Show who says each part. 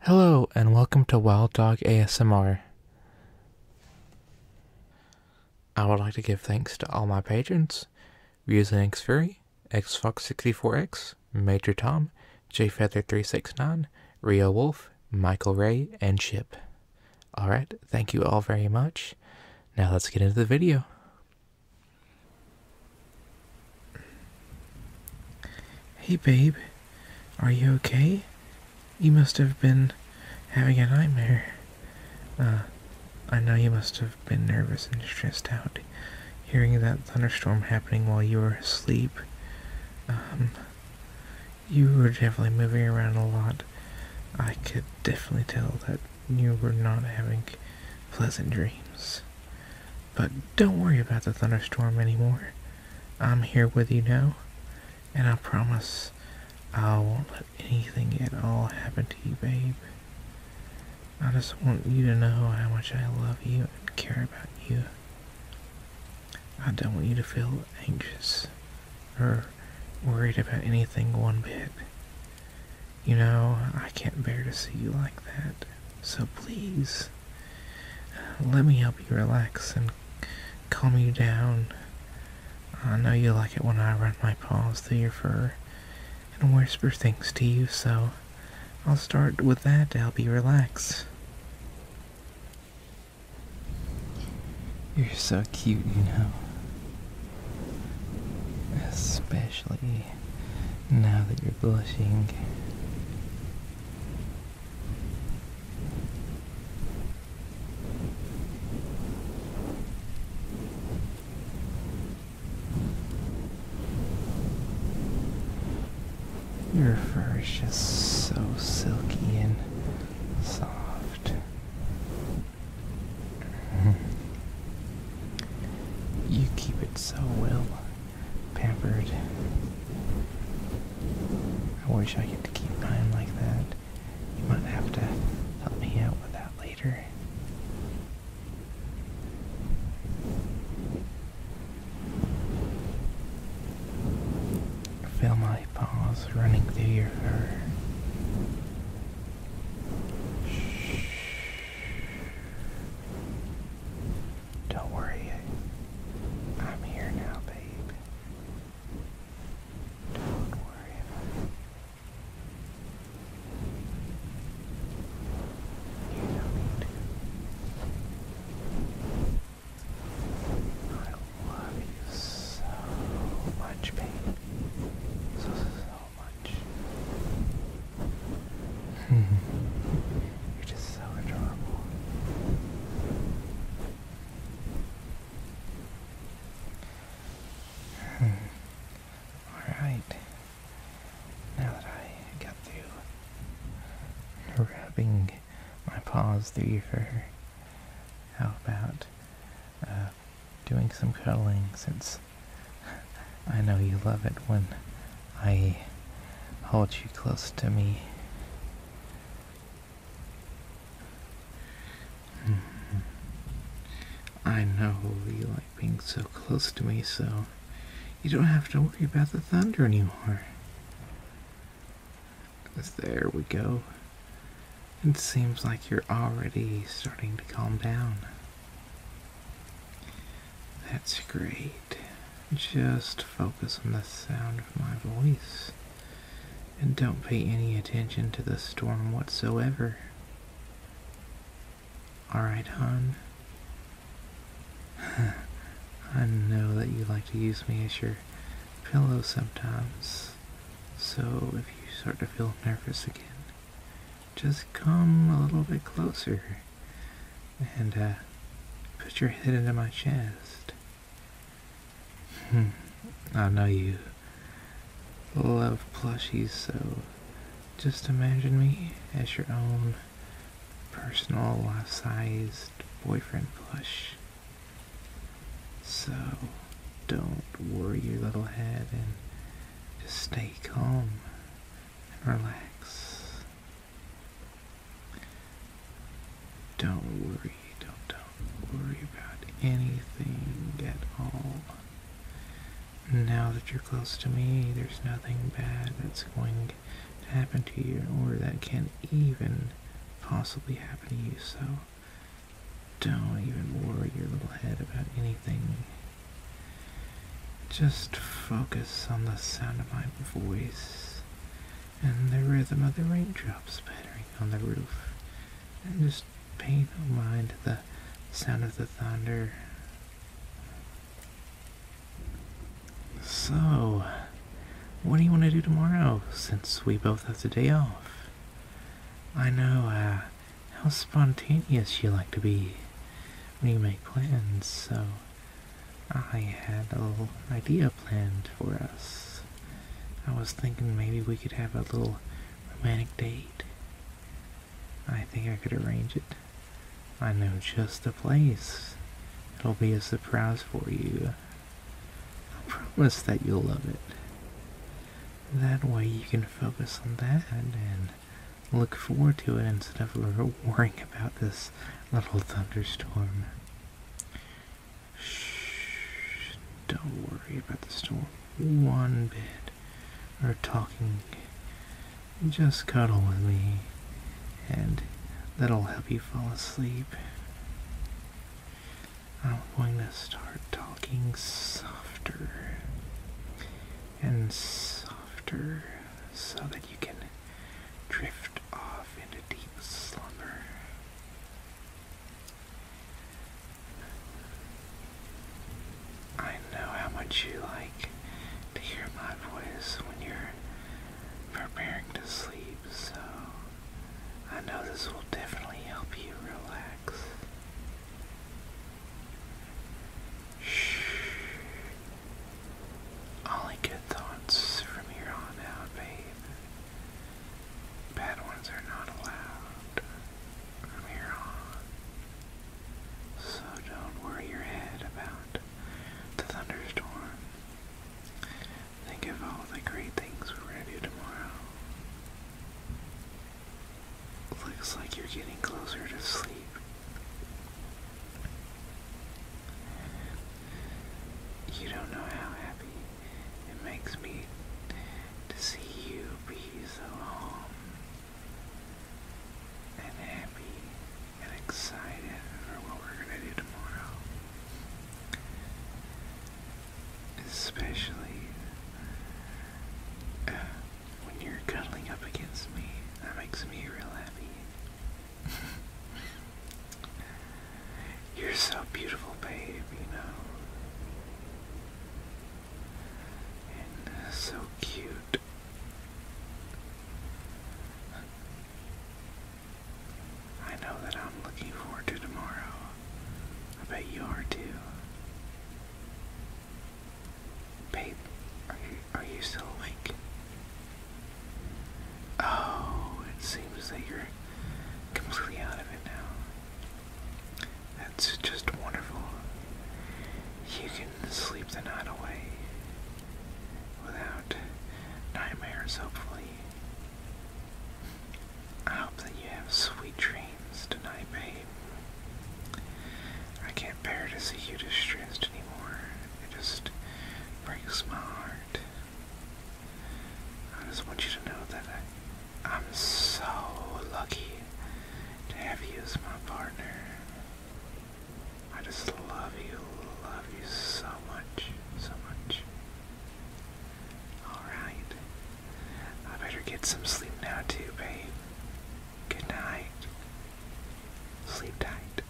Speaker 1: Hello and welcome to Wild Dog ASMR. I would like to give thanks to all my patrons, using XFury, XFox64X, Major Tom, JFeather369, Rio Wolf, Michael Ray, and Chip. Alright, thank you all very much. Now let's get into the video. Hey, babe. Are you okay? You must have been having a nightmare. Uh, I know you must have been nervous and stressed out hearing that thunderstorm happening while you were asleep. Um, you were definitely moving around a lot. I could definitely tell that you were not having pleasant dreams. But don't worry about the thunderstorm anymore. I'm here with you now, and I promise I won't let anything at all happen to you, babe. I just want you to know how much I love you and care about you. I don't want you to feel anxious or worried about anything one bit. You know, I can't bear to see you like that. So please, uh, let me help you relax and calm you down. I know you like it when I run my paws through your fur and whisper things to you, so I'll start with that to help you relax. You're so cute, you know. Especially now that you're blushing. Your fur is just so silky and soft. You keep it so well pampered. I wish I could keep mine like that. You might have to help me out with that later. Feel my paws running through your fur. Don't worry, I'm here now, babe. Don't worry about it. You do I love you so much, babe. So, so much. You're just so adorable. Hmm. Alright. Now that I got through rubbing my paws through your fur, how about uh, doing some cuddling since I know you love it when I hold you close to me. Mm-hmm. I know you like being so close to me, so you don't have to worry about the thunder anymore. There we go. It seems like you're already starting to calm down. That's great. Just focus on the sound of my voice and don't pay any attention to the storm whatsoever. Alright, hon. I know that you like to use me as your pillow sometimes. So if you start to feel nervous again, just come a little bit closer and uh, put your head into my chest. Hmm. I know you love plushies, so just imagine me as your own personal life-sized boyfriend plush. So don't worry your little head and just stay calm and relax. Don't worry, don't, don't worry about anything at all. Now that you're close to me, there's nothing bad that's going to happen to you or that can even possibly happen to you, so don't even worry your little head about anything. Just focus on the sound of my voice and the rhythm of the raindrops pattering on the roof, and just pay no mind to the sound of the thunder. So, what do you want to do tomorrow since we both have the day off? I know uh, how spontaneous you like to be when you make plans, so I had a little idea planned for us. I was thinking maybe we could have a little romantic date. I think I could arrange it. I know just the place. It'll be a surprise for you. I promise that you'll love it. That way you can focus on that and look forward to it instead of worrying about this little thunderstorm. Shh, don't worry about the storm one bit We're talking. Just cuddle with me and that'll help you fall asleep. I'm going to start talking softer and softer so that you can drift off into deep slumber. I know how much you like to hear my voice when you're preparing to sleep, so I know this will definitely help you relax. Shh. Only good thoughts from here on out, babe. Bad ones are not allowed from here on. So don't worry your head about the thunderstorm. Think of all the great things we're gonna do tomorrow. Looks like you're getting closer to sleep. You don't know how happy it makes me to see you be so calm and happy and excited for what we're going to do tomorrow. Especially uh, when you're cuddling up against me. That makes me real happy. you're so beautiful, babe, you know so cute. I know that I'm looking forward to tomorrow. I bet you are too. Babe, are you are you still awake? Oh, it seems that you're completely out of it now. That's just wonderful. You can sleep the night away without nightmares, hopefully. I hope that you have sweet dreams tonight, babe. I can't bear to see you distressed anymore. It just breaks my heart. I just want you to know that I, I'm so lucky to have you as my partner. I just love you, love you so much, so much. Alright. I better get some sleep now too, babe. Good night. Sleep tight.